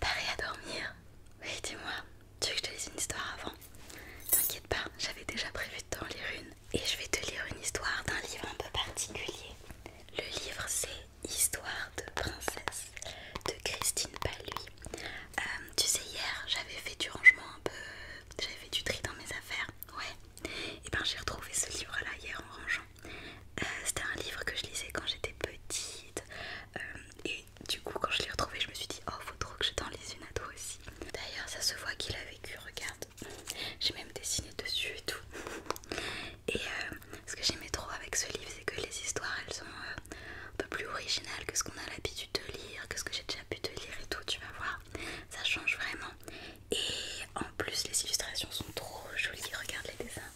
T'arrives à dormir Oui, dis-moi, tu veux que je te lise une histoire avant T'inquiète pas, j'avais déjà prévu de t'en lire une. Et je vais te lire une histoire d'un livre un peu particulier. Le livre c'est Histoire de princesse de Christine Paluy. Euh, tu sais, hier j'avais fait du rangement un peu. J'avais fait du tri dans mes affaires. Ouais. Et eh ben j'ai retrouvé ce livre là hier en rangeant. Euh, c'était un livre que je lisais quand j'étais petite. Euh, et du coup, quand je l'ai retrouvé, je me suis dit, oh, faut trop que je t'en lise une à toi aussi. D'ailleurs, ça se voit qu'il a vécu. Regarde, j'ai même dessiné dessus et tout. Et euh, ce que j'aimais trop avec ce livre, c'est que les histoires elles sont euh, un peu plus originales que ce qu'on a l'habitude de lire, que ce que j'ai déjà pu te lire et tout, tu vas voir, ça change vraiment. Et en plus, les illustrations sont trop jolies, regarde les dessins.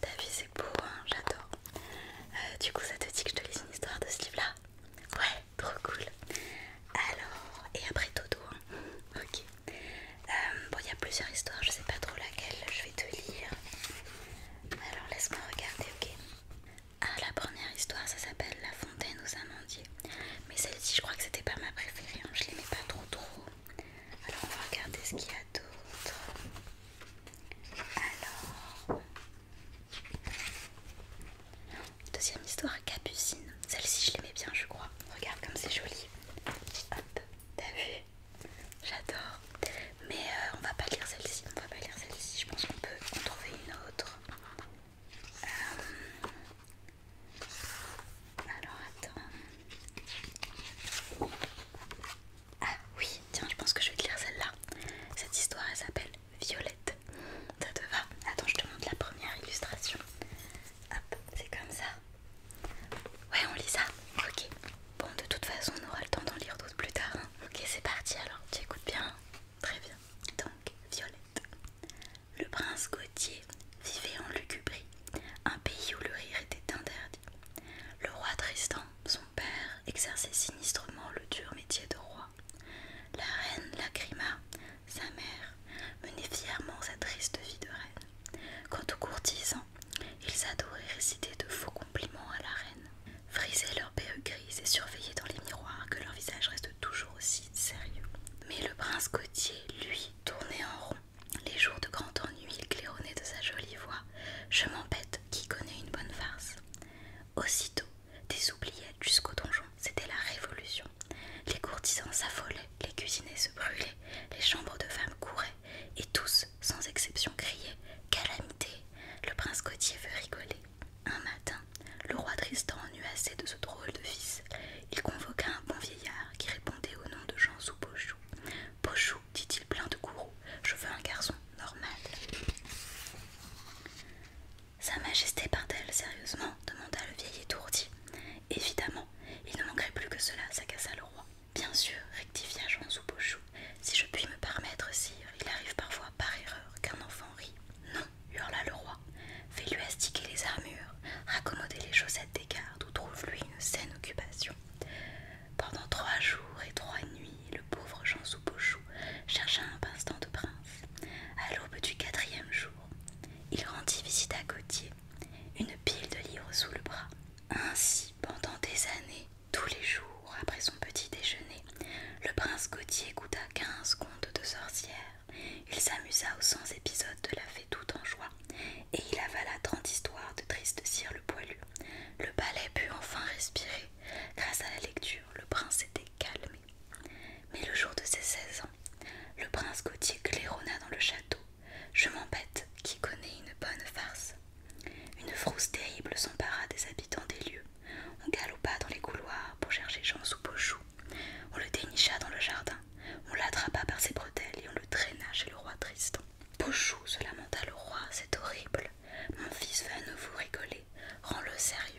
ta vie c'est beau, hein, j'adore. Euh, du coup, ça te dit que je te lise une histoire de ce livre-là Ouais, trop cool. Alors, et après Toto, hein. ok. bon, il y a plusieurs histoires, je sais pas trop laquelle je lire. Alors laisse-moi regarder, ok Ah, la première histoire, ça s'appelle La fontaine aux amandiers. Mais celle-ci, je crois que c'était pas ma préférée, hein. je l'aimais pas trop trop. Alors on va regarder ce qu'il y a d'autre. Alors... Deuxième histoire, Capucine. Celle-ci, je l'aimais bien, je crois. Regarde comme c'est joli. Hop, t'as vu J'adore. Mais euh, on va pas lire celle-ci. On va pas lire celle-ci. Je pense qu'on peut en trouver une autre. Euh, alors attends. Ah oui, tiens, je pense que je vais te lire celle-là. Cette histoire, elle s'appelle Violette. Ça te va Attends, je te montre la première illustration. Hop, c'est comme ça. Ouais, on lit ça. Ok. Bon, de toute façon, on aura le temps d'en lire d'autres plus tard. Hein. Ok, c'est parti alors. Tu écoutes bien. Hein. Très bien. Donc, Violette. Le prince Gautier vivait en Lucubrie, un pays où le rire était interdit. Le roi Tristan, son père, exerçait sinistrement le dur métier de roi. La reine Lacrima, sa mère, menait fièrement sa triste vie de reine. Quant aux courtisans, ils adoraient réciter de faux compliments à la reine, frisaient leurs perruques grises et surveillaient dans les miroirs que leur visage reste toujours aussi sérieux. Mais le prince Gautier, lui, tournait en rond. Les jours de grand ennui, il claironnait de sa jolie voix Je m'embête, qui connaît une bonne farce Aussitôt, des oubliettes jusqu'au donjon, c'était la révolution. Les courtisans s'affolaient, les cuisiniers se brûlaient, les chambres de femmes couraient et tous, sans exception, criaient Calamité Le prince Gottier veut rigoler. Un matin, le roi Tristan eut assez de ce drôle de fils, il convoqua un bon vieillard qui répondait au nom de jean « Pochou. Pochou, dit-il plein de courroux, je veux un garçon normal. Sa Majesté part-elle sérieusement demanda le vieil étourdi. Évidemment, il ne manquerait plus que cela, s'agassa le roi. Bien sûr, rectifia Jean chou si je puis me permettre, sire, il arrive parfois par erreur qu'un enfant rit. Non, hurla le roi, fais-lui astiquer les armures, raccommoder les chaussettes des gardes ou trouve-lui une saine occupation. Pendant trois jours et trois nuits, le pauvre Jean chou chercha un pinceau de prince. À l'aube du quatrième jour, il rendit visite à Gautier, une pile de livres sous le bras. Ainsi pendant des années, tous les jours après son petit déjeuner. Le prince Gautier goûta quinze contes de sorcières. Il s'amusa aux cent épisodes de la fée tout en joie, et il avala trente histoires de tristes cire le poilu. Le palais put enfin respirer. Grâce à la lecture, le prince était calmé. Mais le jour de ses seize ans, le prince Gautier claironna dans le château je m'embête, qui connaît une bonne farce. Une frousse terrible s'empara des habitants des lieux. On galopa dans les couloirs pour chercher Jean sous Pochou. On le dénicha dans le jardin. On l'attrapa par ses bretelles et on le traîna chez le roi Tristan. Pochou se lamenta le roi, c'est horrible. Mon fils veut à nouveau rigoler. Rends-le sérieux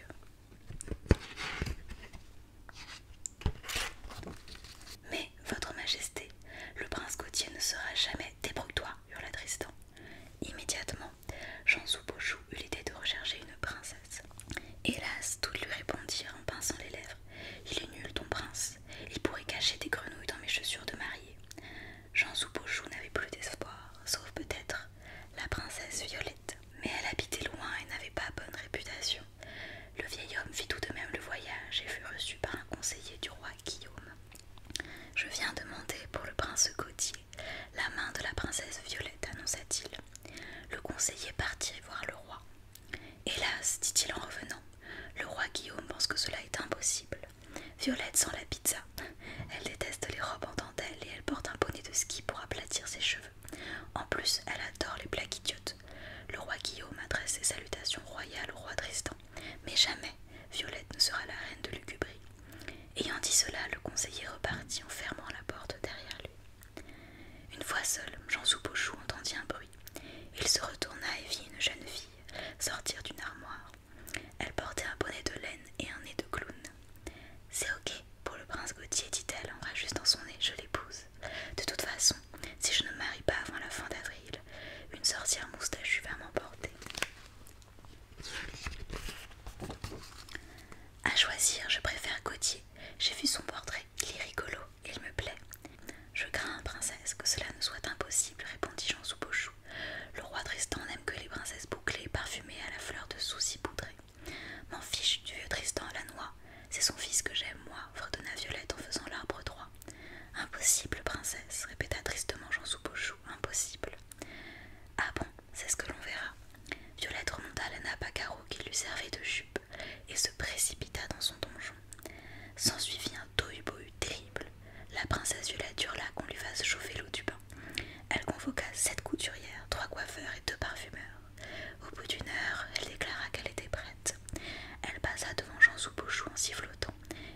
votre majesté, le prince Gautier ne sera jamais. Débrouille-toi, hurla Tristan. Immédiatement, Jean Soupochou eut l'idée de rechercher une princesse. Hélas, tout lui répondit en pinçant les lèvres. Il est nul, ton prince. Il pourrait cacher des grenouilles dans mes chaussures de mariée. Jean Soupochou n'avait plus d'espoir, sauf peut-être la princesse Violette. Mais elle habitait loin et n'avait pas bonne réputation. Le vieil homme fit tout de même le voyage et fut reçu par un conseiller du roi Guillaume. Je viens demander pour le prince Gautier la main de la princesse Violette, annonça-t-il. Le conseiller partit voir le roi. Hélas, dit-il en revenant, le roi Guillaume pense que cela est impossible. Violette sent la pizza. Elle déteste les robes en dentelle et elle porte un bonnet de ski pour aplatir ses cheveux. En plus, elle adore les plaques idiotes. Le roi Guillaume adresse ses salutations royales au roi Tristan, mais jamais Violette ne sera la reine de Lucubrie. Ayant dit cela, le conseiller repartit en fermant la porte derrière lui. Une fois seul, Jean Soubouchou entendit un bruit. Il se retourna et vit une jeune fille sortir d'une armoire. Elle portait un bonnet de laine et un nez de clown. C'est ok pour le prince Gauthier, dit-elle en rajustant son nez, je l'épouse. De toute façon, si je ne me marie pas avant la fin d'avril, une sorcière moustachue va m'emporter. À choisir, je préfère Gauthier. J'ai vu son portrait, il est rigolo, il me plaît. Je crains, princesse, que cela ne soit impossible, répondit Jean Soupochou. Le roi Tristan n'aime que les princesses bouclées, parfumées à la fleur de souci poudré. M'en fiche du vieux Tristan à la noix. C'est son fils que j'aime, moi, fredonna Violette en faisant l'arbre droit Impossible, princesse, répéta tristement Jean Soupochou, impossible. Ah bon, c'est ce que l'on verra. Violette remonta la nappe à carreaux qui lui servait de jupe et se précipita dans son donjon. S'ensuivit un tohu-bohu terrible. La princesse Violette hurla qu'on lui fasse chauffer l'eau du bain. Elle convoqua sept couturières, trois coiffeurs et deux parfumeurs. Au bout d'une heure, elle déclara qu'elle était prête. Elle passa devant Jean Soubouchou en sifflotant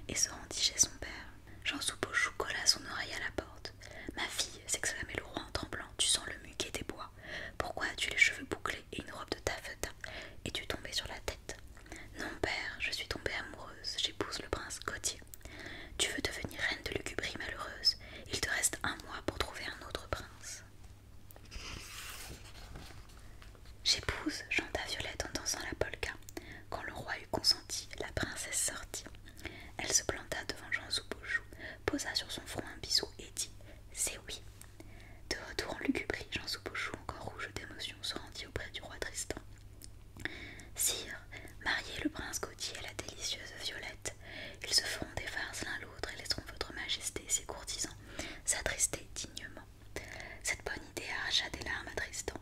et se rendit chez son père. Jean Bouchou colla son oreille à la porte. Ma fille, s'exclamait le roi en tremblant, tu sens le muquet des bois. Pourquoi as-tu les cheveux bouclés et une robe de taffetas et tu tombée sur la tête Non, père, je suis tombée amoureuse, j'épouse le prince Gautier. Tu veux devenir reine de Lucubrie, malheureuse. Il te reste un mois pour trouver un autre prince. J'épouse, chanta Violette en dansant la polka. Quand le roi eut consenti, la princesse sortit. Elle se planta devant Jean posa sur son front un bisou et dit C'est oui. De retour en Lugubrie, Jean encore rouge d'émotion, se rendit auprès du roi Tristan. Sire, mariez le prince Gautier à la délicieuse Violette. Ils se feront des farces l'un l'autre et laisseront votre majesté ses courtisans s'attrister dignement. Cette bonne idée arracha des larmes à Tristan.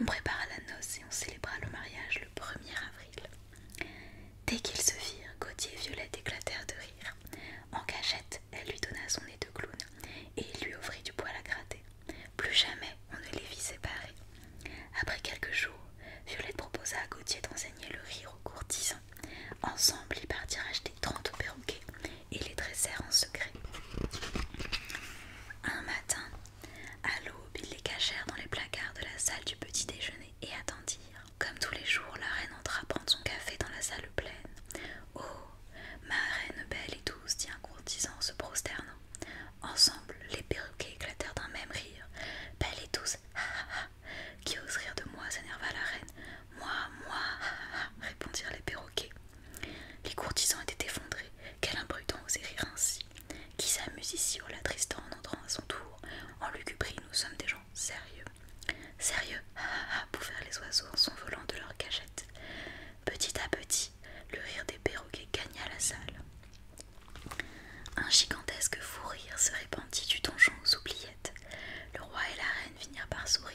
On prépara la noce et on célébra le mariage le 1er avril. Dès qu'ils se firent, Gauthier et Violette éclatèrent de rire. En cachette, elle lui donna son nez de clown et il lui offrit du poil à gratter. Plus jamais on ne les vit séparés. Après quelques jours, Violette proposa à Gauthier d'enseigner le rire aux courtisans. Ensemble, ils partirent acheter 30 perroquets et les dressèrent en secret. Un matin, à l'aube, ils les cachèrent dans les placards de la salle du petit déjeuner et attendirent. Comme tous les jours, la reine entra prendre son café dans la salle pleine. Oh, ma reine belle et douce, dit un courtisan se prosternant. Ensemble, les perroquets éclatèrent d'un même rire. Belle et douce, Ha Qui ose rire de moi s'énerva la reine. Moi, moi, répondirent les perroquets. Les courtisans étaient effondrés. Quel imprudent osait rire ainsi Qui s'amuse ici au oh la Tristan en entrant à son tour En lugubrie, nous sommes des gens sérieux. Sérieux ah, ah, ah, pour faire les oiseaux en s'envolant de leurs cachettes. Petit à petit, le rire des perroquets gagna la salle. Un gigantesque fou rire se répandit du donjon aux oubliettes. Le roi et la reine finirent par sourire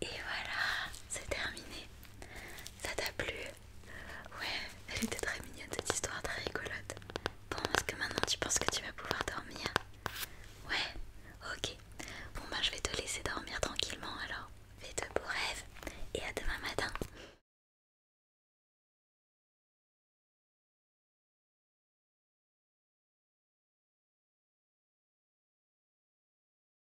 Et voilà, c'est terminé. Ça t'a plu Ouais, elle était très mignonne cette histoire, très rigolote. Bon, est-ce que maintenant tu penses que tu vas pouvoir dormir Ouais, ok. Bon, bah je vais te laisser dormir tranquillement alors. Fais de beaux rêves et à demain matin.